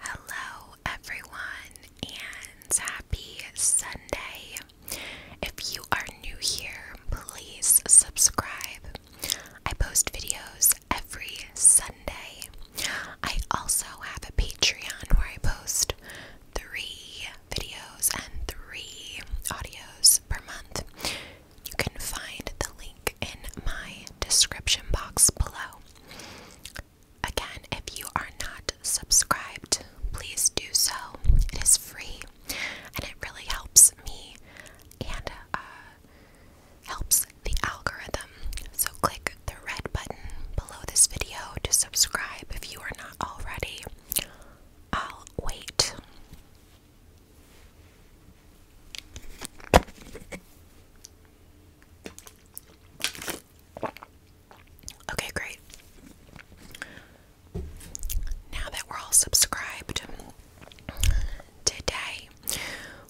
Hello, everyone, and happy Sunday. If you are new here, please subscribe. I post videos every Sunday. I also have a Patreon where I post three videos and three audios per month. You can find the link in my description box below. Again, if you are not subscribed, please do so. It is free and it really helps me and uh, helps the algorithm. So, click the red button below this video to subscribe if you are not already. I'll wait. Okay, great. Now that we're all subscribed, today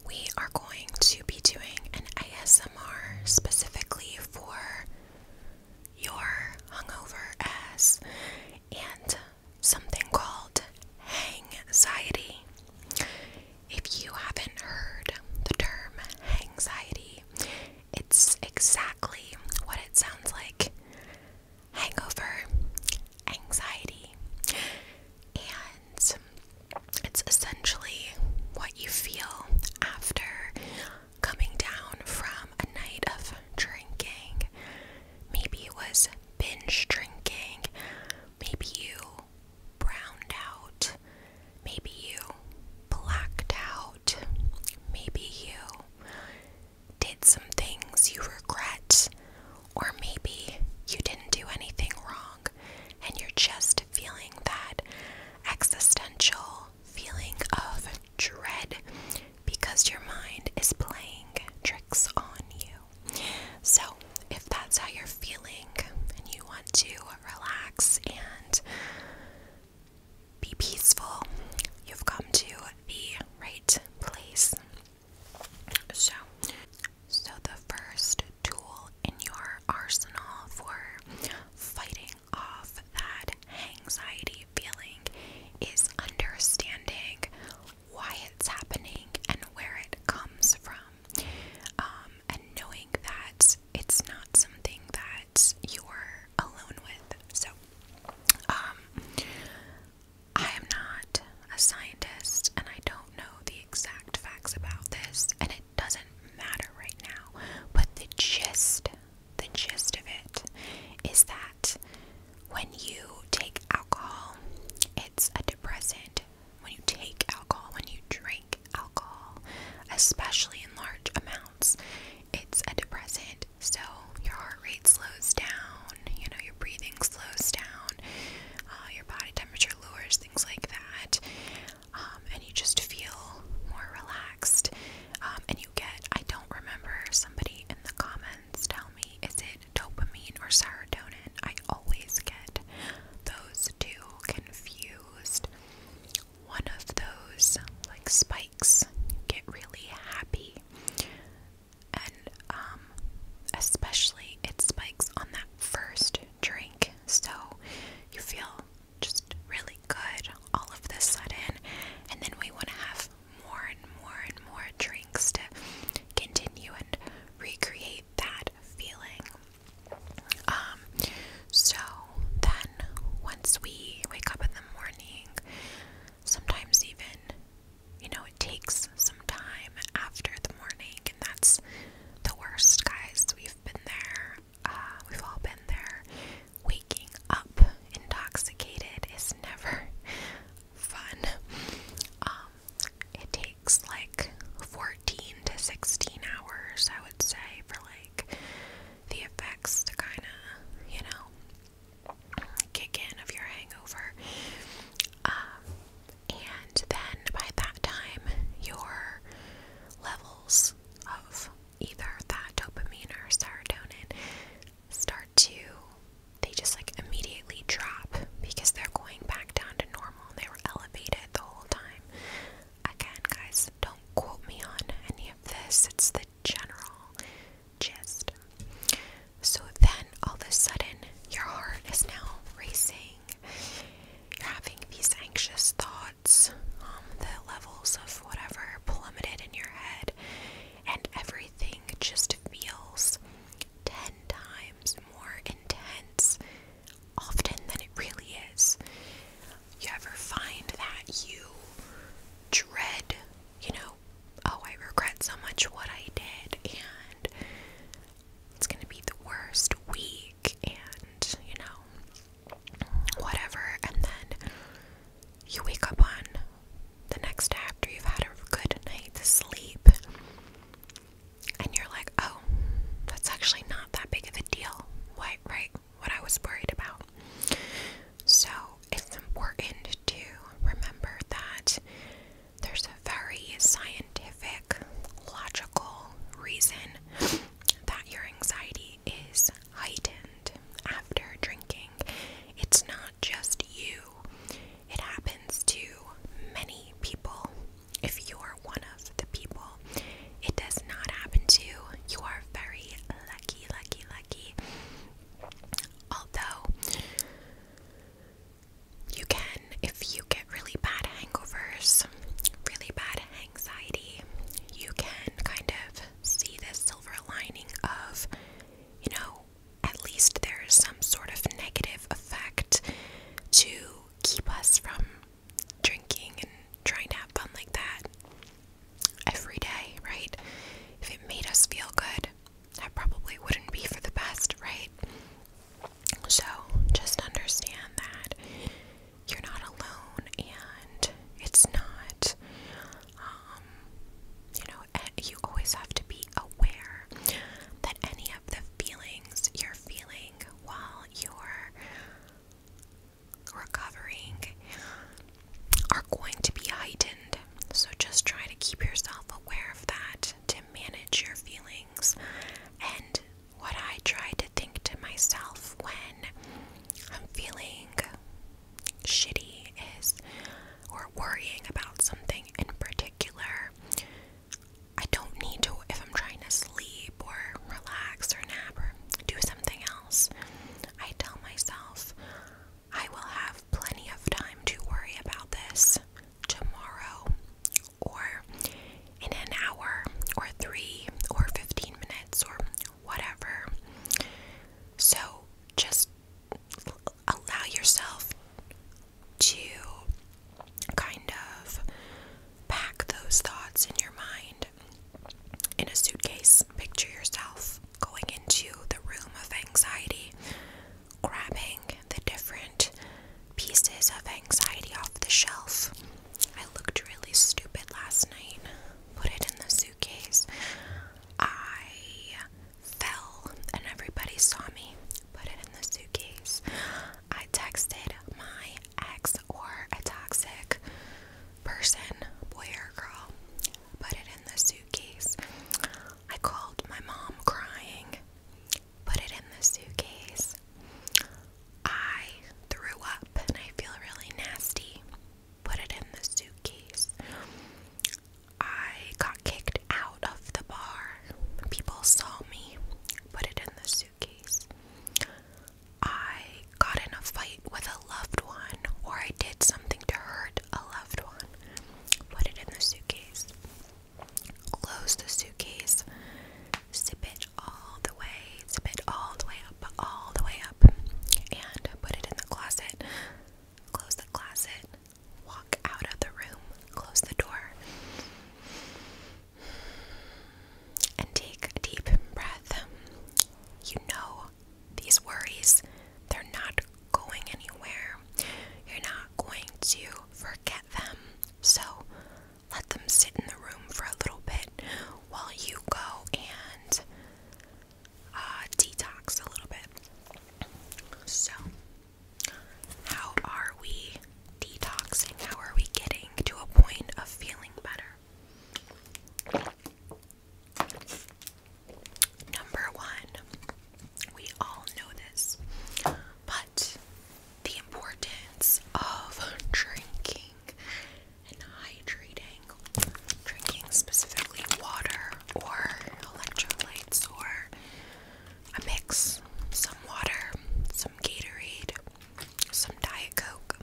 we are going to be doing an ASMR specifically for your hungover ass and something called hang anxiety. If you haven't heard the term anxiety, it's exactly what it sounds like hangover, anxiety. And it's essentially what you feel after coming down from a night of drinking. Maybe it was binge drinking. Maybe you browned out, maybe you blacked out, maybe you did some things you regret, or maybe you didn't do anything wrong and you're just feeling that existential feeling of dread because your mind is playing tricks on you. So, if that's how you're feeling and you want to relax and be peaceful, you've come to the right place. So, so the first tool in your arsenal for fighting off that anxiety feeling is understanding why it's happening and where it comes from, um, and knowing that it's not something that you're alone with. So, um, I am not a scientist and I don't know the exact facts about this, and it doesn't matter right now, but the gist, the gist of it is that when you take alcohol, it's a depressant when you take alcohol, when you drink alcohol, especially in large amounts, it's a depressant. So your heart rate slows down, you know, your breathing slows down, uh, your body temperature lowers, things like that. Um, and you just feel more relaxed. Um, and you get, I don't remember, somebody in the comments tell me, is it dopamine, or serotonin. I always get those two confused. One of those, like spikes, get really happy. And um, especially it spikes on that first drink. So you feel just really good all of the sudden. And then we want to have more and more and more drinks to continue and recreate that feeling. Um, so then once we wake up in the morning, sometimes even, you know, it takes some time after the morning, and that's the worst, guys. We've been there, uh, we've all been there. Waking up intoxicated is never fun. Um, it takes like 14 to 16 hours, I would say, for like the effects to kind of, you know, kick in of your hangover. Um, and then by that time, your levels of either that dopamine or serotonin start to they just like immediately drop because they're going back down to normal. They were elevated the whole time. Again, guys, don't quote me on any of this. It's the general gist. So then all of a sudden, your heart is now racing. You're having these anxious thoughts. Um, the levels of whatever plummeted in your head, and everything just feels 10 times more intense often than it really is. You ever find that you dread, you know, oh, I regret so much what I did, and it's gonna be the worst week, and you know, whatever, and then you wake up on the next day after you've had a good night's sleep and you're like, oh, that's actually not that big of a deal. What, right? What I was worried about. So it's important to remember that there's a very scientific, logical reason that your anxiety is heightened after drinking. It's not just you, it happens to many people. If you're one of the people it does not happen to, you You are very lucky, lucky, lucky. Although, you can, if you get really bad hangovers, really bad anxiety, you can kind of see this silver lining of, you know, at least there is some sort of negative effect to keep us from drinking and trying to have fun like that every day, right? If it made us feel good, that probably wouldn't be for the best, right? So just understand that you're not alone and it's not, um, you know, you always have to be aware that any of the feelings you're feeling while you're recovering are going to be heightened. So just try to keep yourself aware of that to manage your feelings. And what I try to think to myself when I'm feeling shitty is or worrying about something in particular. I don't need to if I'm trying to sleep or relax or nap or do something else. I tell myself I will have plenty of time to worry about this tomorrow or in an hour or 3 or 15 minutes or whatever. So just allow yourself to kind of pack those thoughts in your mind in a suitcase. Picture yourself going into the room of anxiety, grabbing the different pieces of anxiety off the shelf. I looked really stupid last night, put it in the suitcase. I fell and everybody saw me put it in the suitcase. I texted my ex or a toxic person, boy or girl, put it in the suitcase. I called my mom crying, put it in the suitcase. I threw up and I feel really nasty, put it in the suitcase. I got kicked out of the bar. People saw me put it in the suitcase. I got in a fight with a loved one, or I did something to hurt a loved one. Put it in the suitcase. Close the suitcase. Zip it all the way. Zip it all the way up, all the way up. And put it in the closet. Close the closet walk out of the room, close the door, and take a deep breath. You know, these worries, they're not going anywhere. You're not going to forget them. So let them sit in the room for a little bit while you go and uh, detox a little bit. So, how are we detoxing? How are we getting to a point of feeling better? Number one, we all know this, but the importance of drinking and hydrating drinking specifically water or electrolytes or a mix some water, some Gatorade, some Diet Coke.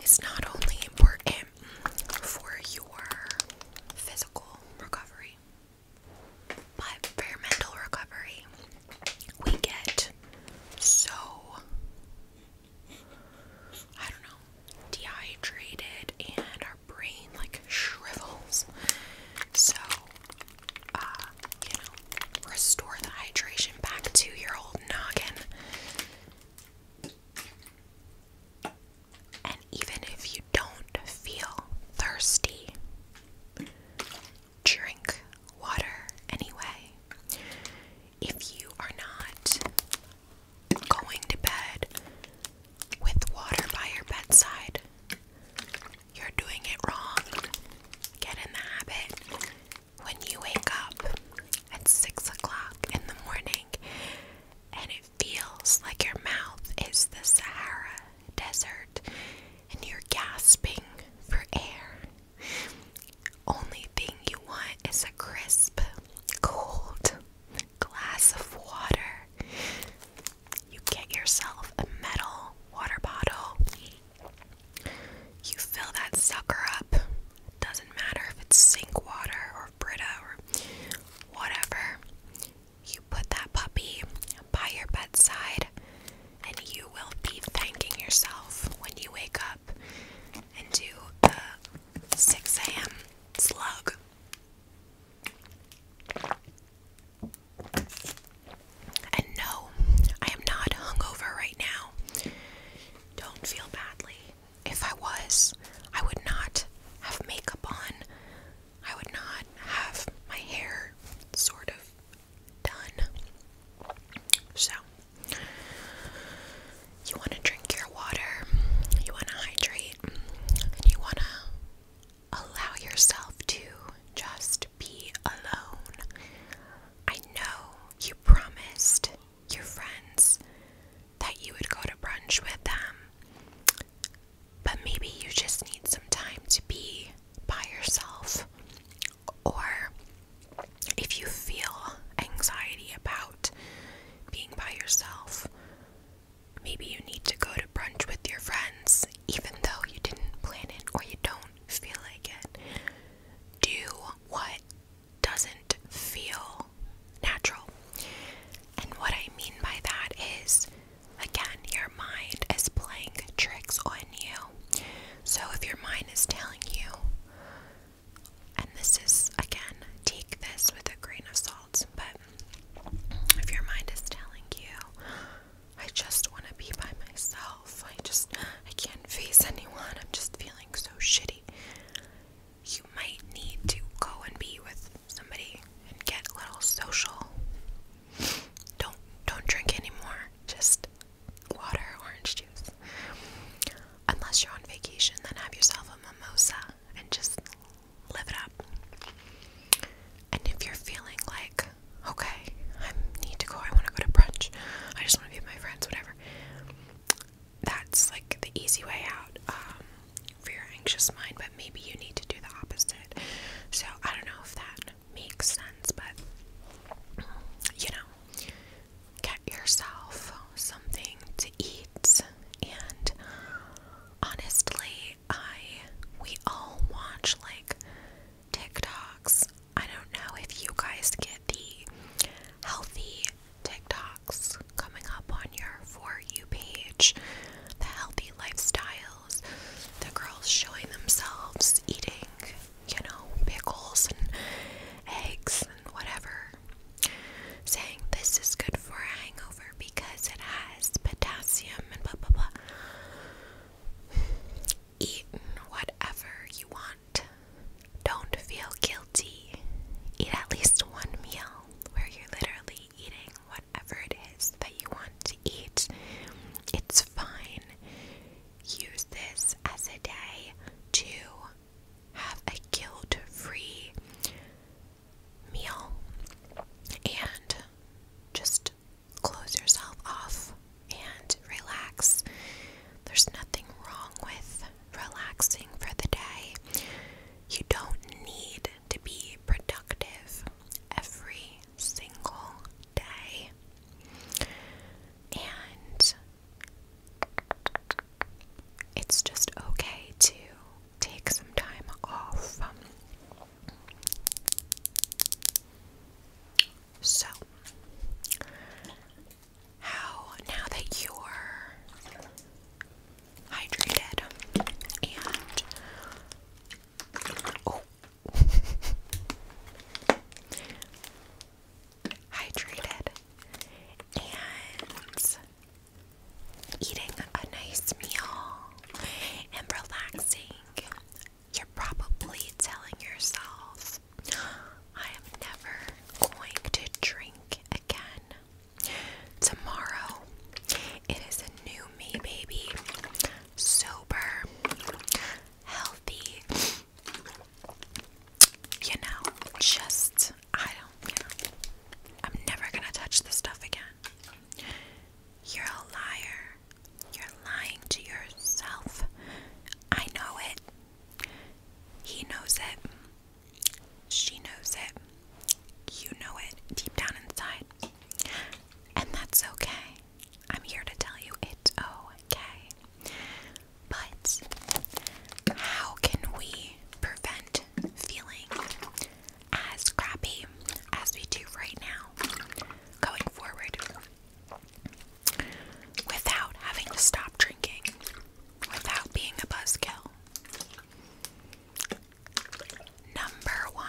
It's not only important for your physical recovery, but for your mental recovery, we get so I don't know, dehydrated and our brain like shrivels. So, uh, you know, restore the hydration back to your old noggin. And even if you don't feel thirsty, drink water anyway. If you are not going to bed with water by your bedside. You're doing it wrong. Get in the habit when you wake up at 6 o'clock in the morning and it feels like your mouth is the Sahara Desert and you're gasping for air. Only thing you want is a crisp, cold glass of water. You get yourself a metal water bottle. You fill that sucker up. Doesn't matter if it's sink water or Brita or whatever. You put that puppy by your bedside, and you will be thanking yourself when you wake up and do the 6 a.m. slug. And no, I am not hungover right now. Don't feel badly. If I was, I would not have makeup on. I would not have my hair sort of done. So, you want to drink your water, you want to hydrate, you want to allow yourself to just be alone. I know you promised your friends that you would go to brunch with them, but maybe you just need some time to be by yourself or if you feel anxiety about being by yourself, maybe you need to go to brunch with your friends, even though you didn't plan it or you don't feel like it. Do what doesn't feel natural. And what I mean by that is, again, your mind is playing tricks on you. So if your mind is telling you, and this is again, take this with a grain of salt, but if your mind is telling you, I just want to be by myself, I just, I can't face anyone, I'm just feeling so shitty, you might need to go and be with somebody and get a little social. Don't don't drink anymore. Just water, orange juice. Unless you're on vacation, then have yourself a mimosa and just live it up. And if you're feeling like, okay, I need to go, I want to go to brunch, I just want to be with my friends, whatever, that's like the easy way out um, for your anxious mind, but maybe you need to do the opposite. So I don't know if that makes sense, but you know, get yourself something to eat. And honestly, I we all watch like TikToks. I don't know if you guys get the healthy TikToks coming up on your For You page, the healthy lifestyles, the girls showing themselves eating you know, pickles and eggs and whatever, saying this is good for hangover because it has potassium and blah blah blah. Eat whatever you want. Don't feel guilty. Eat at least one meal where you're literally eating whatever it is that you want to eat. It's fine use this as a day to have a guilt free meal and just close yourself off and relax. There's nothing wrong with relaxing for the day. You don't need to be productive every single day. And it's just okay to take some time off. So, how now that you're hydrated and oh, hydrated, and eating a nice meal and relaxing, you're probably telling yourself, I am never going to drink again. Tomorrow, it is a new me, baby. Sober, healthy, you know, just I don't I'm never gonna touch this stuff again. You're a liar. You're lying to yourself. I know it. He knows it. She knows it. You know it deep down inside. And that's okay. I'm here to tell you it's okay. But how can we prevent feeling as crappy as we do right now going forward without having to stop drinking, without being a buzzkill? Number one,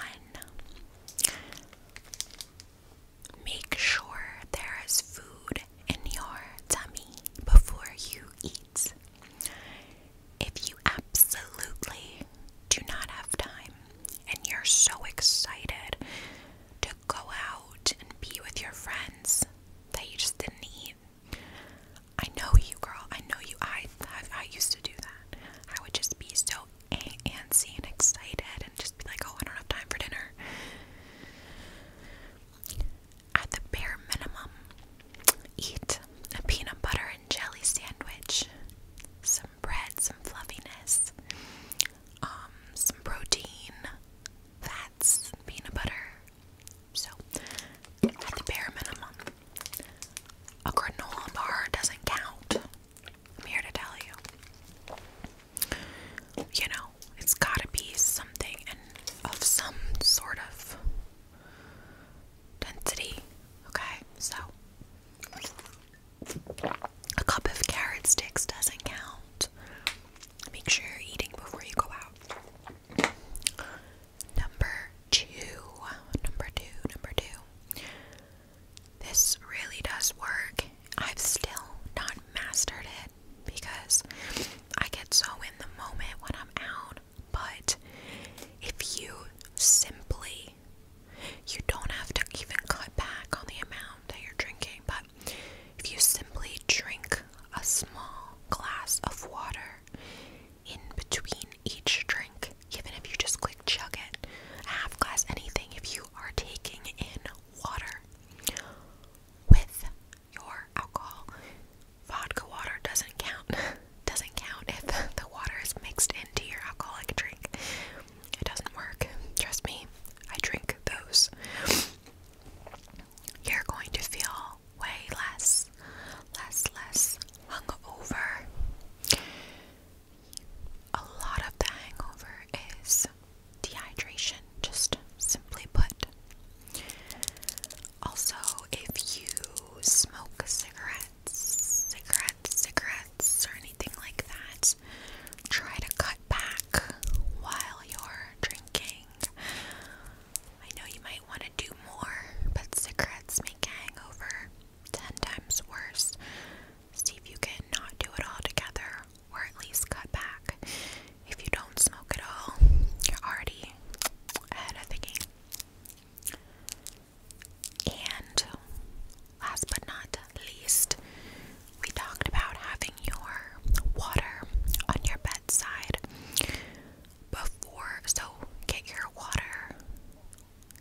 Make sure there is food in your tummy before you eat. If you absolutely do not have time and you're so excited to go out and be with your friends that you just didn't eat, I know you, girl. I know you. I I, used to do that. I would just be so antsy and excited and just be like, oh, I don't have time for dinner. At the bare minimum, eat a peanut butter and jelly sandwich, some bread, some fluffiness, um, some protein, fats, peanut butter. So, at the bare minimum, a granola bar doesn't count. I'm here to tell you. You know, it's gotta be something and of some sort of density. Okay, so a cup of carrot sticks doesn't count. Make sure you're eating before you go out. Number two, number two, number two. This really does work. I've still not mastered it because I get so in the moment when I'm out. But if you simply, you don't have to even cut back on the amount that you're drinking, but if you simply drink a small glass of water in between each drink, even if you just quick chug it, a half glass, anything, if you are taking in water with your alcohol. Vodka water doesn't count. doesn't count if the water is mixed into your alcoholic drink. It doesn't work. Trust me, I drink those. You're going to feel way less, less, less hungover a lot of the hangover is dehydration, just simply put. Also, if you smoke cigarettes, cigarettes, cigarettes, or anything like that, try to cut back while you're drinking. I know you might want to do more, but cigarettes make a hangover 10 times worse See if you can not do it all together, or at least cut back. If you don't smoke at all, you're already ahead of the game. And last but not least, we talked about having your water on your bedside before. So get your water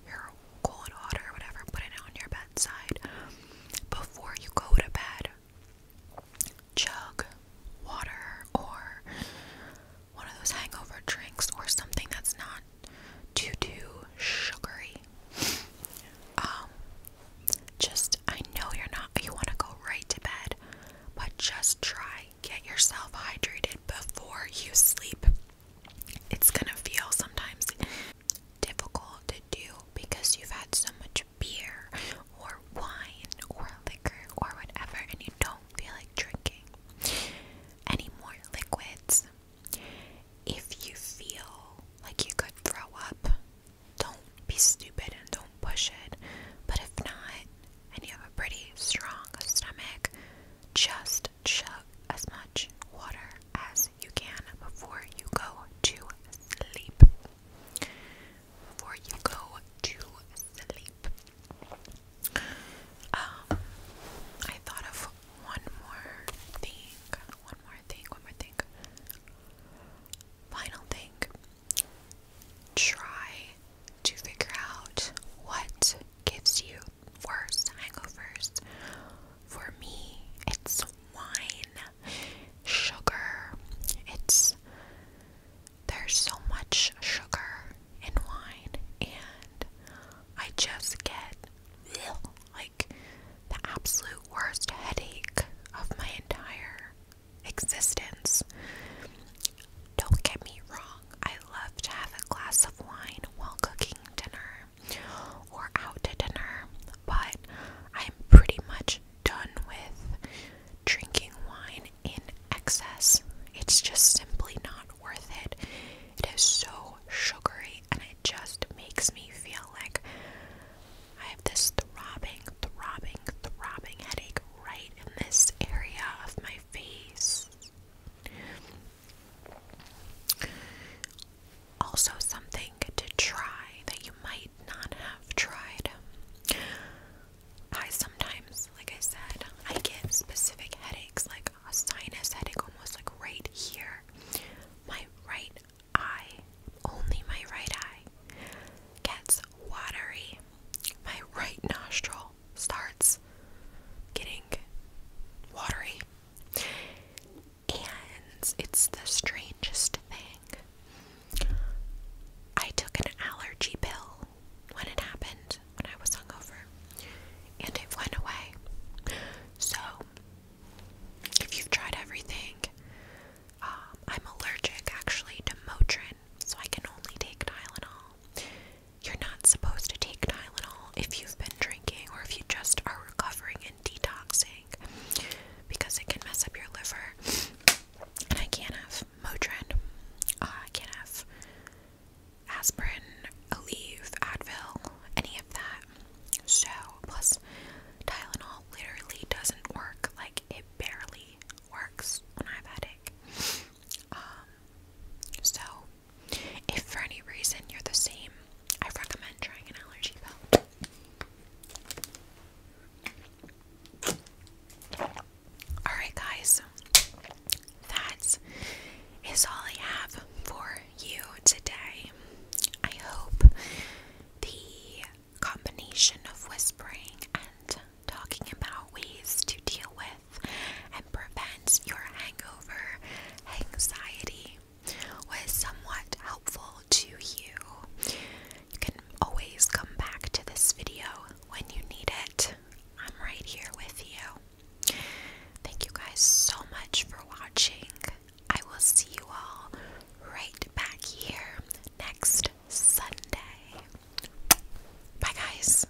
your cold water or whatever, put it on your bedside before you go to bed. Chug water or one of those hangover drinks or something that's not too sugary. Um just I know you're not you want to go right to bed, but just try get yourself hydrated before you sleep it's gonna feel sometimes difficult to do because you've had so much beer or wine or liquor or whatever and you don't feel like drinking any more liquids. If you feel like you could throw up, don't be stupid and don't push it. But if not, and you have a pretty strong stomach, just chug as much water as you can before you go to sleep. Before you go to sleep. Um, I thought of one more thing. One more thing. One more thing. Final thing. Try to figure out what gives you worst hangovers for me it's wine, sugar. It's there's so much sugar in wine and I just get ugh, like the absolute worst headache of my entire existence. Don't get me wrong, I love to have a glass of wine while cooking dinner or out to dinner, but I'm pretty much done with drinking wine in excess. It's just simply not worth it. It is so sugary and it just makes me feel like I have this throbbing, throbbing, throbbing headache right in this area of my face. Also, something to try that you might not have tried. I sometimes, like I said, I get specific headaches, like a sinus headache, almost like right here. My right eye, only my right eye, gets watery. My right nostril starts getting watery. And it's the strangest thing. I took an allergy pill when it happened, when I was hungover, and it went away. So, if you've tried everything, um, I'm allergic actually to Motrin, so I can only take Tylenol. You're not supposed to take Tylenol if you've been drinking or if you just are recovering and detoxing because it can mess up your liver. And I can't have Motrin, uh, I can't have aspirin, Aleve, Advil, any of that. So, plus, Tylenol literally doesn't work. Like, it barely works when I have a headache. Um, so, if for any reason you're the same, I recommend trying an allergy pill. Alright, guys, that is all I have for you today. I hope the combination of whispering and talking about ways to deal with and prevents your hangover anxiety was somewhat helpful to you. You can always come back to this video when you need it. I'm right here with you. Thank you guys so much for watching. I will see you all right back here next Sunday. Bye, guys.